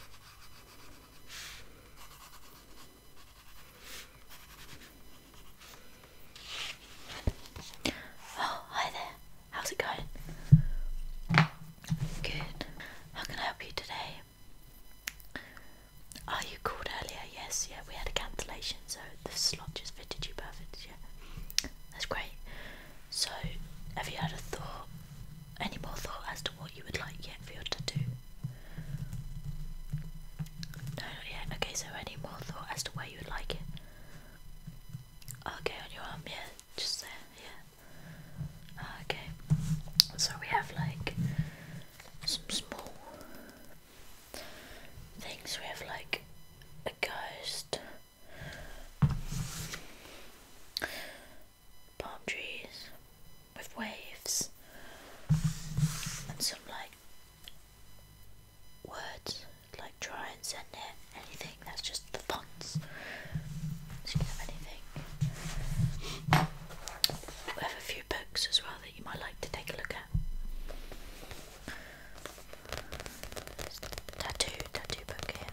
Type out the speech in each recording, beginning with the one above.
Oh, hi there. How's it going? Good. How can I help you today? Oh, you called earlier. Yes, yeah, we had a cancellation, so the slot just fitted you perfect. Yeah, that's great. So, have you had a thought any more thought as to what you would like yet for your tattoo? No, not yet. Okay, so any more thought as to where you would like it? Okay, on your arm, yeah, just there, yeah. Ah, okay, so we have like some small things. We have like a ghost, palm trees with waves and some like words like try and send it anything that's just the fonts you can have anything we have a few books as well that you might like to take a look at tattoo tattoo book here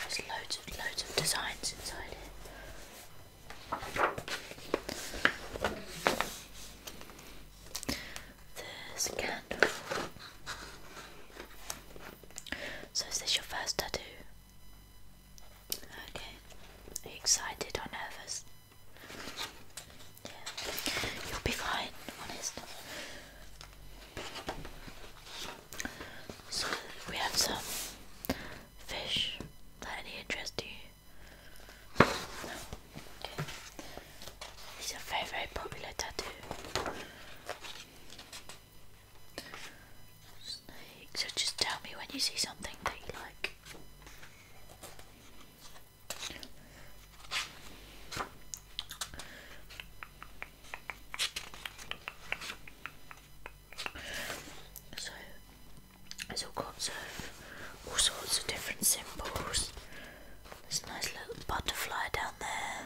there's loads and loads of designs inside it. There's a candle. So is this your first tattoo? Okay. excited or nervous? You'll be fine, honest. So we have some fish that any interest you? No. Okay. These are very very popular tattoo. So just tell me when you see something that you like. So there's all kinds of all sorts of different symbols. There's a nice little butterfly down there.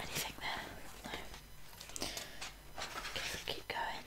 Anything there? No. Okay, keep going.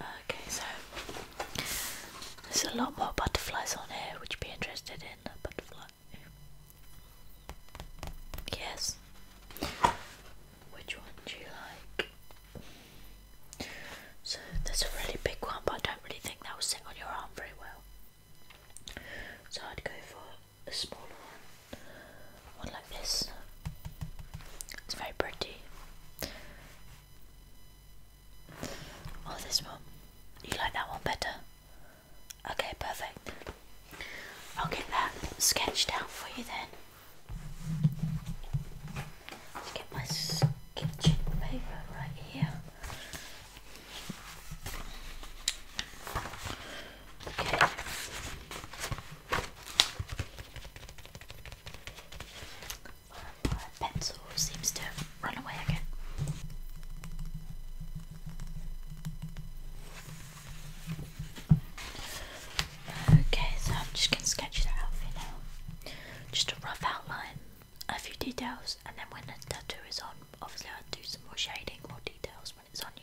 Okay, so there's a lot more butterflies on here. Would you be interested in a butterfly? Yes. Which one do you like? So there's a really big one, but I don't really think that will sit on your arm very well. So I'd go for a smaller one, one like this. It's very pretty. Oh, this one. You like that one better? Okay, perfect. I'll get that sketched out for you then. Let's get my sketching paper right here. Okay. my pencil seems to run away again. Okay, so I'm just going to sketch that out for you now. Just a rough outline, a few details, and then when the tattoo is on, Obviously, I'll do some more shading, more details when it's on you.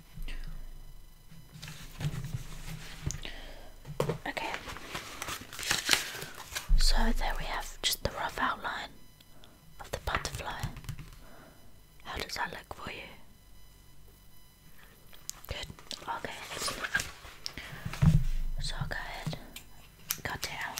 Okay, so there we have just the rough outline of the butterfly. How does that look for you? Good, okay, excellent. So I'll go ahead and cut it out.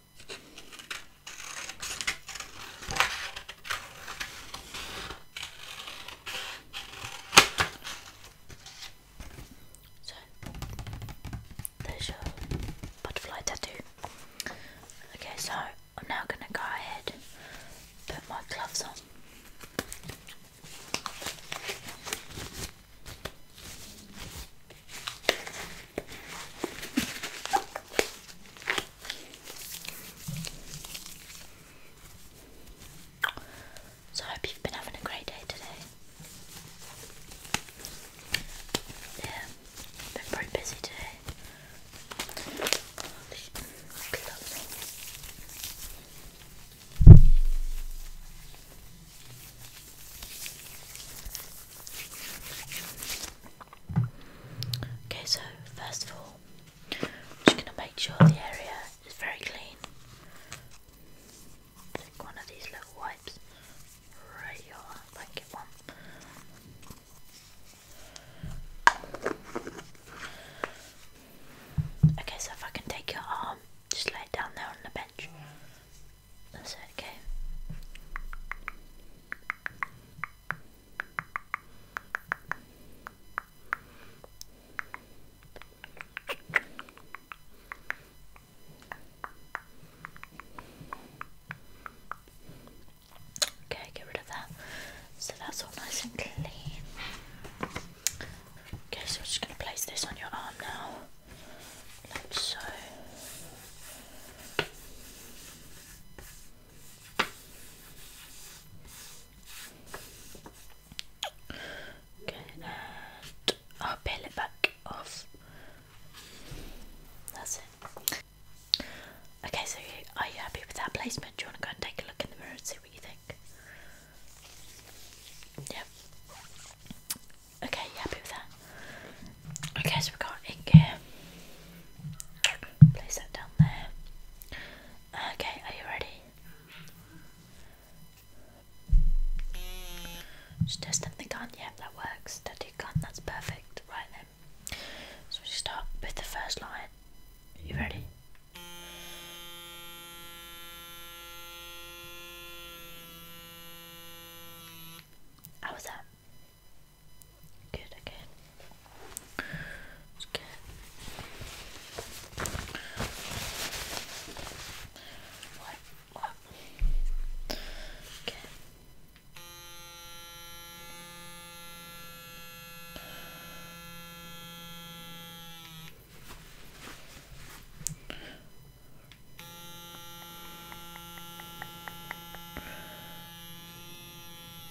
So there's your butterfly tattoo. Okay, so I'm now gonna go ahead and put my gloves on. So I hope you've been having a great day today. Yeah, been pretty busy today. Okay, so first of all, I'm just going to make sure the area is very clean. Take one of these little wipes, right your blanket one. Okay, so if I can take your arm, just lay down there on the bench. okay. Okay, get rid of that. So that's all nice and clean. Okay, so I'm just going to place this on your arm now, like so. Okay, and I'll peel it back off. That's it. Okay, so are you happy with that placement? Do you want to go and take a look in the mirror and see what you think? Yep. Okay, you happy with that? Okay, so we got ink here. Place that down there. Okay, are you ready? Just testing the gun. Yep, that works. That gun. That's perfect. Right then. So we start with the first line. you ready? How was that? Good again. let what what okay.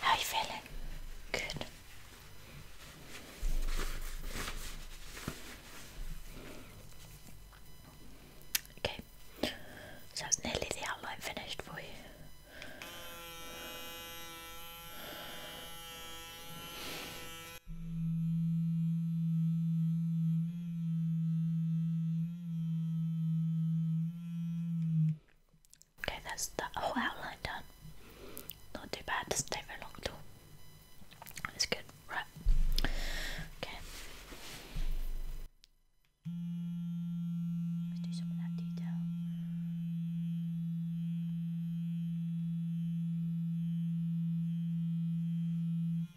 How are you feeling? Good. Okay, so it's nearly the outline finished for you. Okay, that's the whole outline done. Not too bad, doesn't take very long at all. That's good, right? Okay. Let's do some of that detail.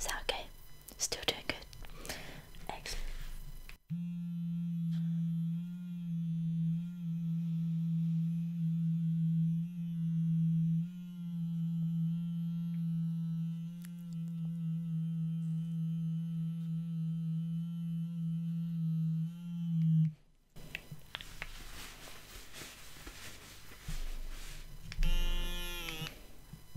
Is that okay? Still doing good. Excellent.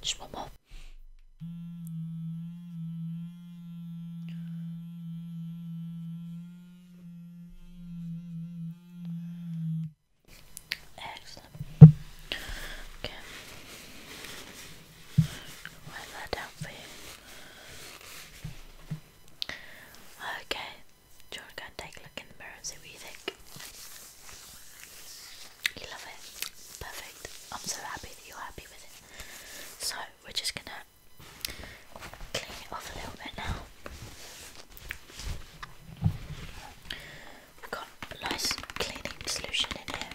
Just one more. Excellent. Okay. Write that down for you. Okay, do go and take a look in the mirror and see what you think? You love it? Perfect. I'm so happy that you're happy with it. So, we're just gonna clean it off a little bit now. got a nice cleaning solution in here.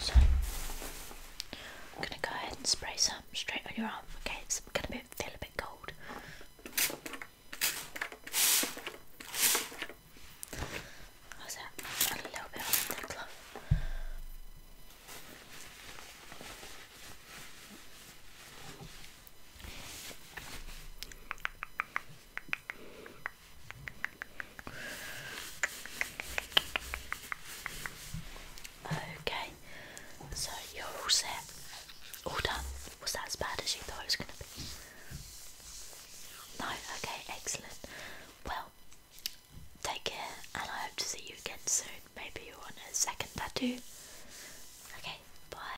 So, I'm going to go ahead and spray some straight on your arm. Okay, it's going to feel a bit cold. How's that? Add a little bit on the glove. Okay, so you're all set, all done. Was that as bad as you thought it was going to be? No, okay, excellent. Well, take care, and I hope to see you again soon. Maybe you want a second tattoo. Okay, bye.